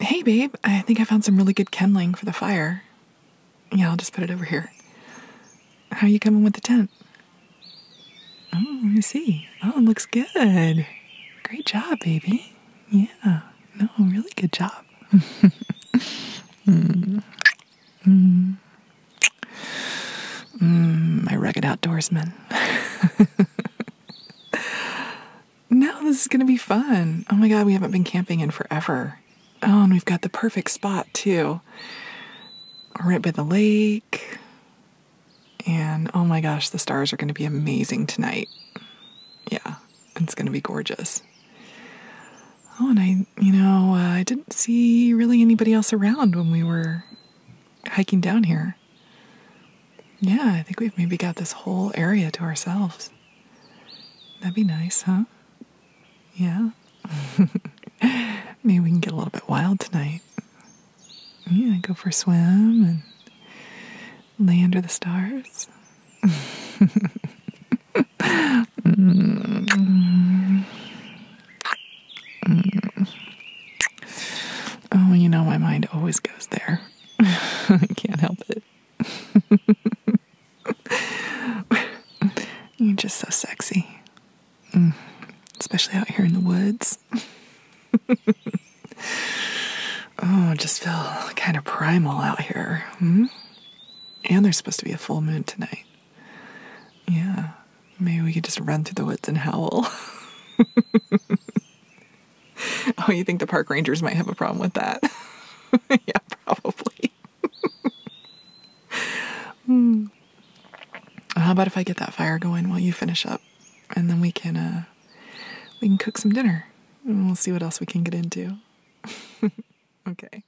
Hey, babe, I think I found some really good kindling for the fire. Yeah, I'll just put it over here. How are you coming with the tent? Oh, let me see. Oh, looks good. Great job, baby. Yeah, no, really good job. Mm. Mm, my rugged outdoorsman. Now this is going to be fun. Oh my God, we haven't been camping in forever. Oh, and we've got the perfect spot too. Right by the lake. And oh my gosh, the stars are going to be amazing tonight. Yeah, it's going to be gorgeous. Oh, and I, you know, uh, I didn't see really anybody else around when we were hiking down here. Yeah, I think we've maybe got this whole area to ourselves. That'd be nice, huh? Yeah. maybe we can get a little bit wild tonight. Yeah, go for a swim and lay under the stars. Oh, you know, my mind always goes there. I Can't help it. You're just so sexy. Mm. Especially out here in the woods. oh, just feel kind of primal out here. Hmm? And there's supposed to be a full moon tonight. Yeah, maybe we could just run through the woods and howl. oh, you think the park rangers might have a problem with that? yeah, probably. Hmm. How about if I get that fire going while you finish up, and then we can uh, we can cook some dinner, and we'll see what else we can get into. okay.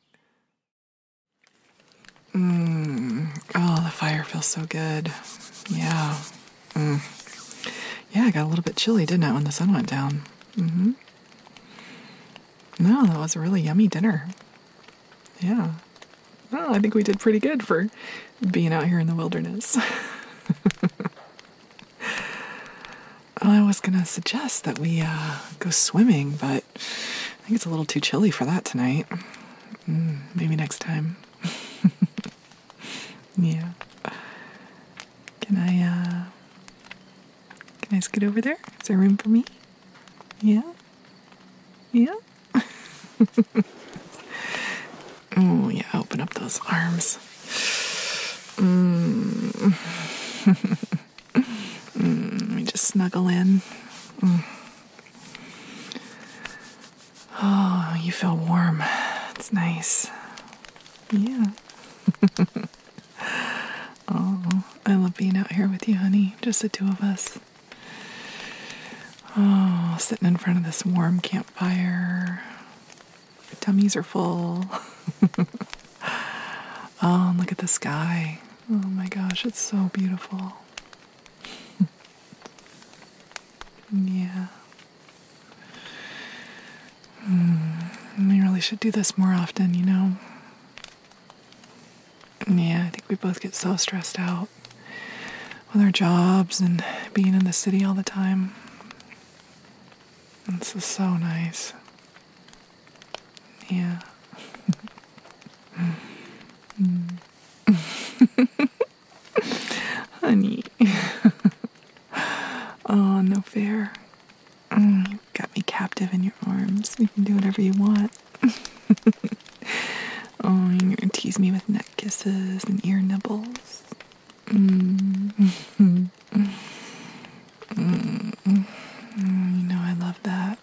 Mm. Oh, the fire feels so good. Yeah. Mm. Yeah, I got a little bit chilly, didn't I, when the sun went down? Mm-hmm. No, that was a really yummy dinner. Yeah. Well, I think we did pretty good for being out here in the wilderness. I was going to suggest that we uh, go swimming, but I think it's a little too chilly for that tonight. Mm, maybe next time. yeah. Can I, uh, can I get over there? Is there room for me? Yeah? Yeah? oh, yeah, open up those arms. Mm. mm let me just snuggle in. Mm. Oh, you feel warm. It's nice. Yeah. oh, I love being out here with you, honey. Just the two of us. Oh, sitting in front of this warm campfire. Your tummies are full. oh, look at the sky. Oh my gosh, it's so beautiful. yeah. Hmm, we really should do this more often, you know? Yeah, I think we both get so stressed out with our jobs and being in the city all the time. This is so nice. Yeah. Hmm. Honey. oh, no fair. you've mm, got me captive in your arms. You can do whatever you want. oh, you're going to tease me with neck kisses and ear nibbles. Mm. Mm. mm. Mm. You know I love that.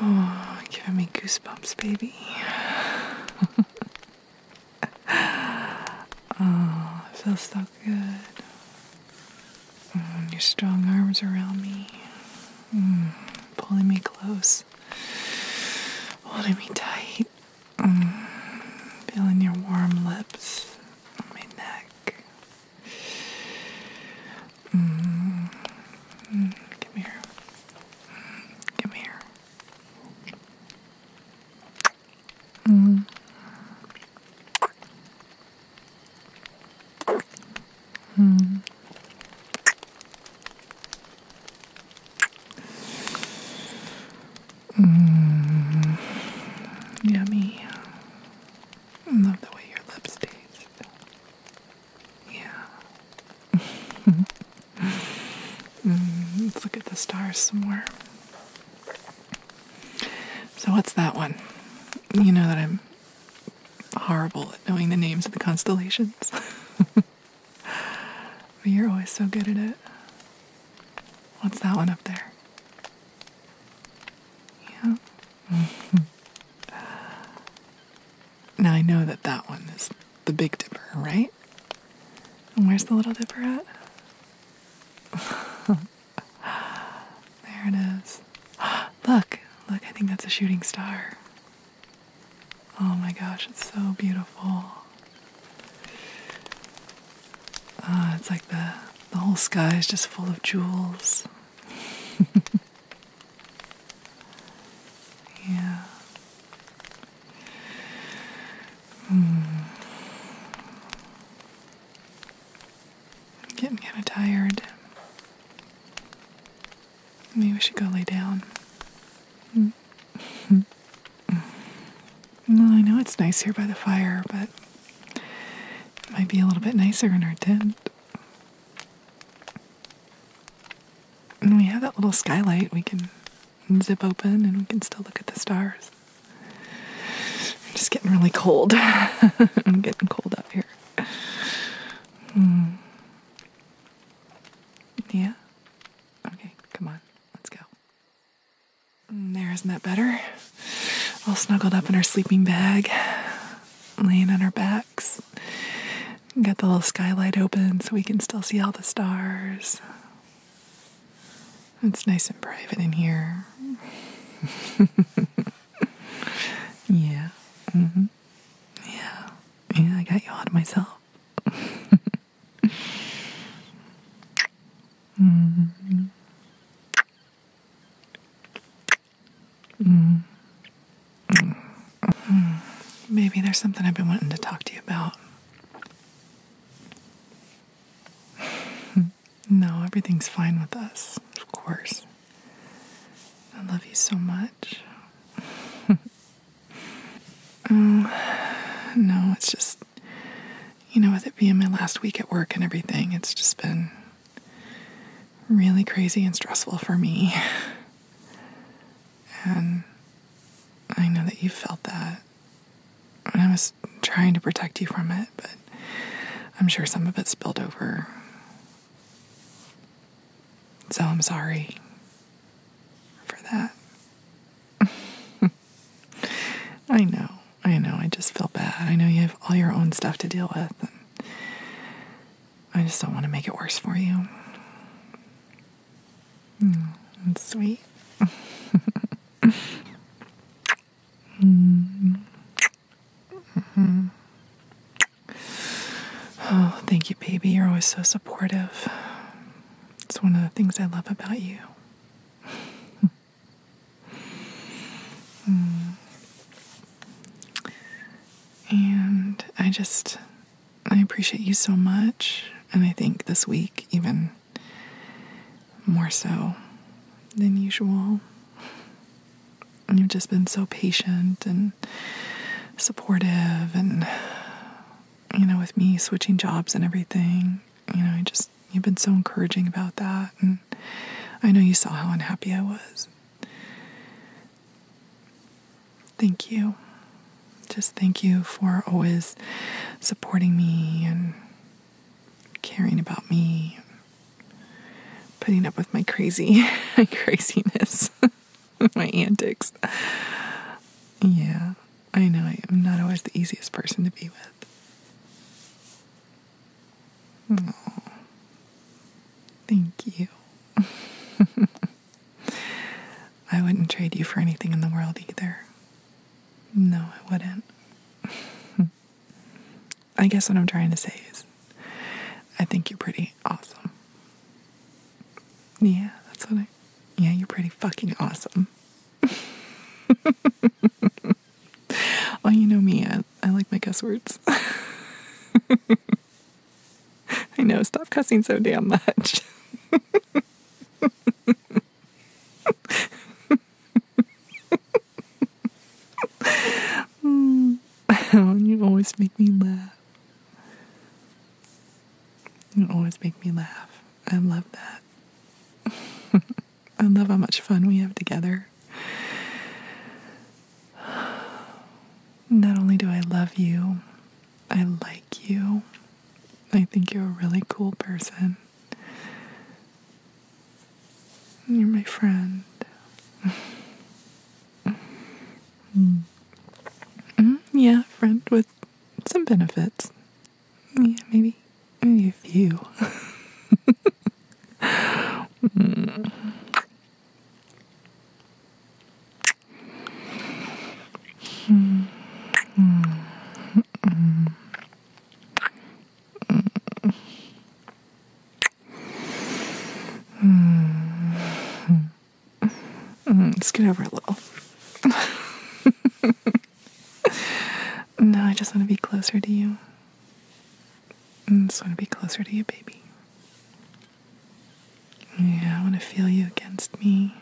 Oh, giving me goosebumps, baby. oh, I feel so good. Mm, your strong arms around me, mm, pulling me close, holding me tight, mm, feeling your warm lips on my neck. come here. Come here. Mm. Mm. mm. mm. Yummy. love the way your lips taste. Yeah. Mm, let's look at the stars some more. So, what's that one? You know that I'm horrible at knowing the names of the constellations. but you're always so good at it. What's that one up there? Yeah. Now I know that that one is the Big Dipper, right? And where's the Little Dipper at? there it is. Look, look, I think that's a shooting star. Oh my gosh, it's so beautiful. Uh, it's like the, the whole sky is just full of jewels. yeah. Mm. I'm getting kind of tired. Maybe we should go lay down. Mm. well, I know it's nice here by the fire, but it might be a little bit nicer in our tent. And we have that little skylight we can zip open and we can still look at the stars. I'm just getting really cold. I'm getting cold up here. Hmm. Yeah? Okay, come on. Let's go. Hmm, there, isn't that better? All snuggled up in our sleeping bag, laying on our backs nice. Got the little skylight open so we can still see all the stars. It's nice and private in here. yeah. Mm-hmm. Yeah. Yeah, I got you all to myself. Mm-hmm. Maybe there's something I've been wanting to talk to you about. no, everything's fine with us, of course. I love you so much. Um, no, it's just, you know, with it being my last week at work and everything, it's just been really crazy and stressful for me. And I know that you felt that. And I was trying to protect you from it, but I'm sure some of it spilled over. So I'm sorry for that. I know. I know. I just feel bad. I know you have all your own stuff to deal with. I just don't want to make it worse for you. Hmm, sweet. Mm-hmm. Oh, thank you, baby. You're always so supportive. It's one of the things I love about you. Hmm. And I just, I appreciate you so much. And I think this week, even more so than usual. you've just been so patient and supportive, and you know, with me switching jobs and everything, you know, I just you've been so encouraging about that. And I know you saw how unhappy I was, Thank you. Just thank you for always supporting me and caring about me, putting up with my crazy, my craziness, my antics. Yeah, I know I'm not always the easiest person to be with. Oh, Thank you. I wouldn't trade you for anything in the world either. No, I wouldn't. I guess what I'm trying to say is I think you're pretty awesome. Yeah, that's what I. Yeah, you're pretty fucking awesome. well, you know me, I, like my cuss words. I know, stop cussing so damn much. you always make me laugh. You always make me laugh. I love that. I love how much fun we have together. Not only do I love you, I like you. I think you're a really cool person. You're my friend. Mm. yeah, friend with some benefits. Yeah, maybe, maybe a few. Mm. Let's get over a little. no, I just want to be closer to you. I just want to be closer to you, baby. Yeah, I want to feel you against me.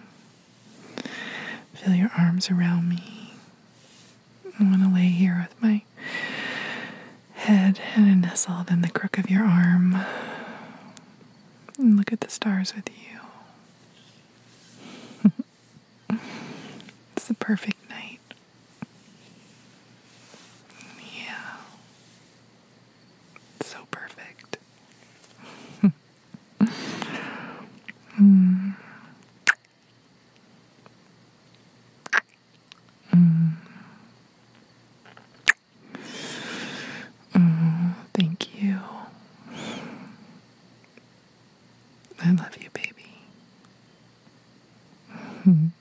Feel your arms around me. I want to lay here with my head and nestled in the crook of your arm and look at the stars with you. it's the perfect night. Yeah. So perfect. mm. Mm. thank you. I love you, baby.